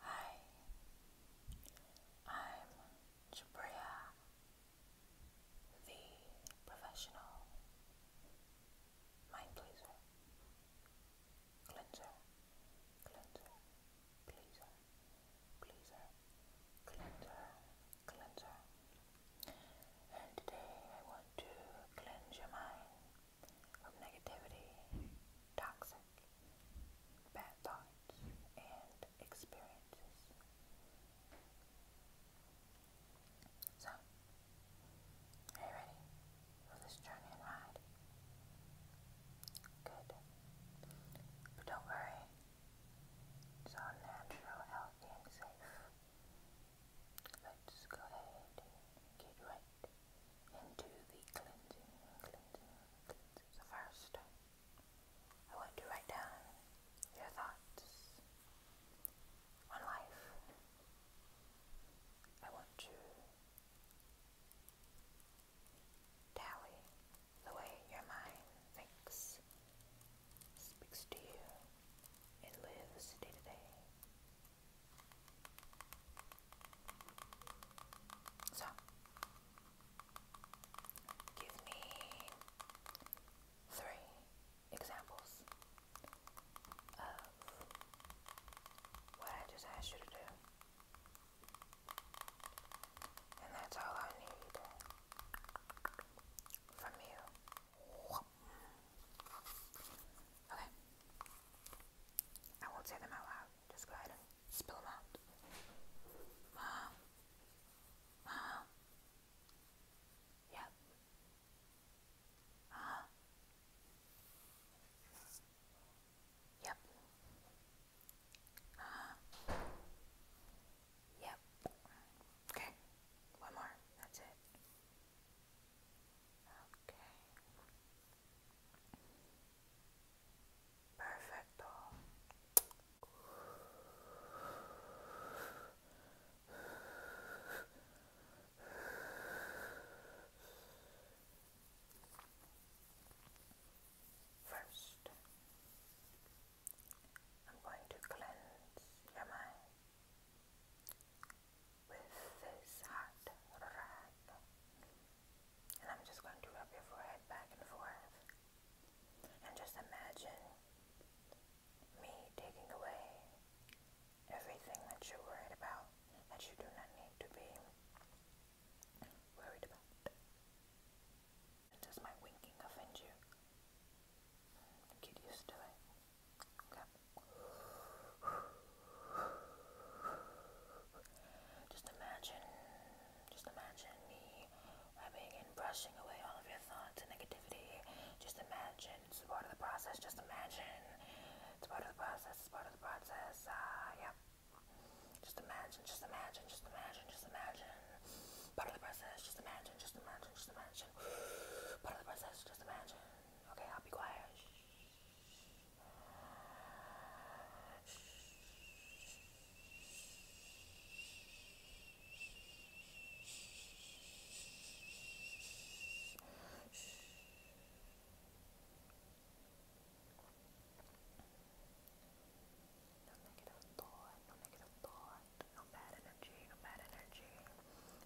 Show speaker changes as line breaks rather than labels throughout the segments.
Hi, I'm Jabria, the professional mind pleaser, cleanser, cleanser, pleaser, pleaser, cleanser, cleanser. And today I want to cleanse your mind of negativity, toxic bad thoughts, and experiences. are you ready for this journey and ride? Good. But don't worry, it's all natural, healthy, and safe. Let's go ahead and get right into the cleansing, cleansing, cleansing. So first, I want to write down your thoughts on life. I want to tally the way your mind thinks, speaks to you, and lives day to day. So, give me three examples of what I just asked you to do. And that's all I need from you. Okay. I won't say them out loud. Just go ahead and spill them out. Mom. Mom. Yep. uh Yep. uh Yep. Okay. One more. That's it. Okay. Perfecto. First, I'm going to cleanse your mind with this hot wrap. And I'm just going to rub your forehead back and forth. And just imagine me taking away everything that you're worried about, that you do not need to be worried about. Does my winking offend you? Get used to just imagine, just imagine me rubbing and brushing away all of your thoughts and negativity. Just imagine, it's part of the process. Just imagine, it's part of the process. part of the process. Uh, yeah. Just imagine, just imagine, just imagine, just imagine. Part of the process. Just imagine, just imagine, just imagine. Part of the process. Just imagine. Okay, I'll be quiet. No negative thought, no negative thought, no bad energy, no bad energy.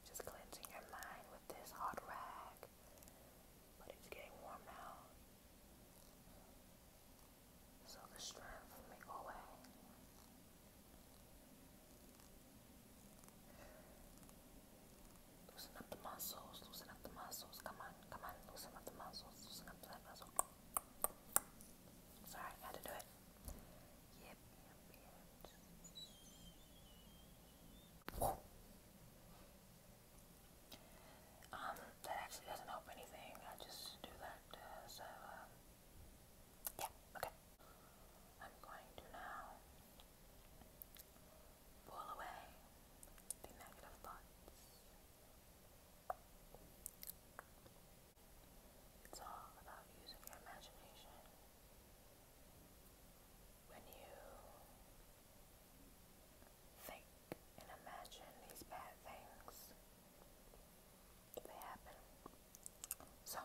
Just cleansing your mind with this hot rag. But it's getting warm now. So the strength may go away. Loosen up the muscles, loosen up the muscles. Come on, come on, loosen up the muscles, loosen up the muscles. Sorry, had to do it. Um, that actually doesn't help anything. I just do that. Uh, so, um, yeah, okay. I'm going to now pull away the negative thoughts. It's all about using your imagination when you think and imagine these bad things, they happen. So,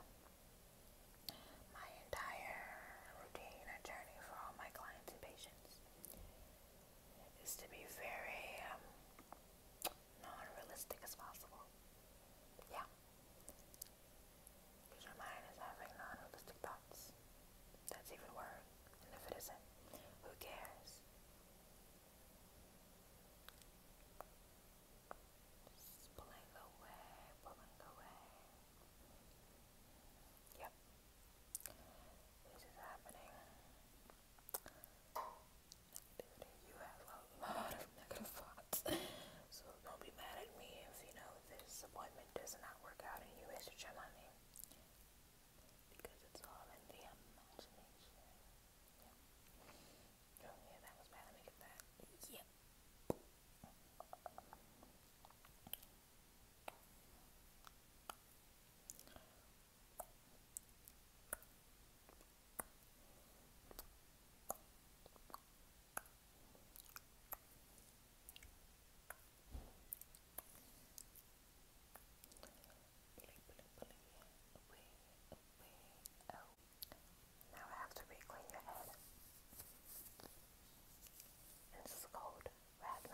my entire routine and journey for all my clients and patients is to be very um, non realistic as possible. Yeah your mind is having non-realistic thoughts. That's even worse. And if it isn't, who cares? Just pulling away, pulling away. Yep. This is happening. Negativity. You have a lot of negative thoughts. So don't be mad at me if, you know, this appointment does not work out and you waste your money. Because it's all in the imagination. Yeah. Oh, yeah, that was bad. Let me get that. Yep. Okay. Now I have to re-clean your head. this is cold right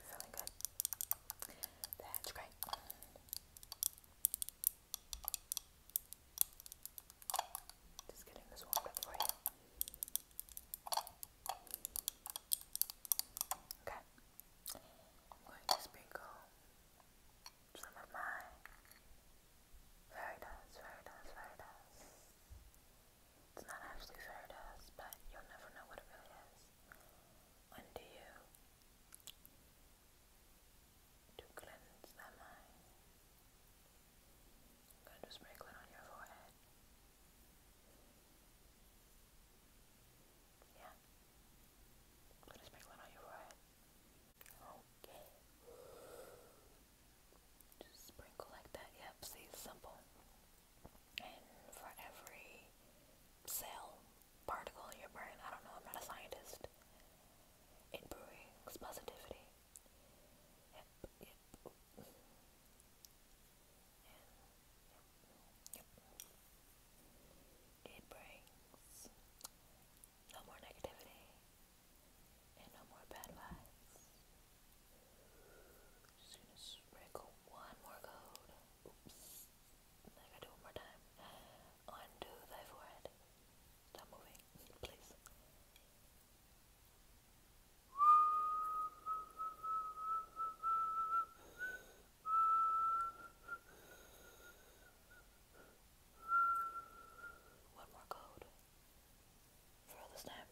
Feeling good. That's great. Just getting this warmed up for you. Okay. I'm going to sprinkle some of my very nice, very nice, very nice it's not actually fair to us, but you'll never know what it really is. Undo you to cleanse that mind. I'm gonna just sprinkle on your forehead. Yeah. I'm gonna sprinkle on your forehead. Okay. Just sprinkle like that. Yep, see, simple and for every cell, particle in your brain, I don't know, I'm not a scientist, it brings positivity. Yep, yep. yep. It brings no more negativity and no more bad vibes sprinkle one more coat. Oops. I gotta do one more time. Undo thy forehead. Stop moving, please. One more code for this time.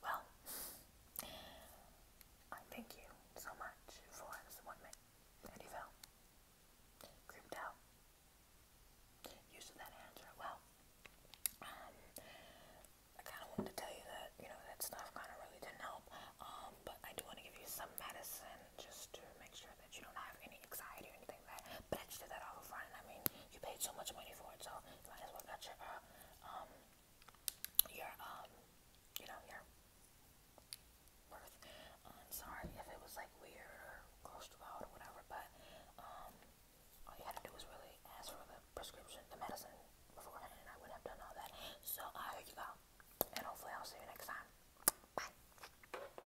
Well, I thank you so much for this appointment, and you fell. Creeped out. Used that answer. Well, um, I kind of wanted to tell you that, you know, that stuff kind of really didn't help, um, but I do want to give you some medicine just to make sure that you don't have any anxiety or anything But I just did that all front, I mean, you paid so much money for it, so you might as well get your, uh, um, your, um, you know, your worth. am um, sorry if it was like weird or close grossed out or whatever, but, all you had to do was really ask for the prescription, the medicine beforehand, and I wouldn't have done all that. So, I hope you go. And hopefully I'll see you next time. Bye.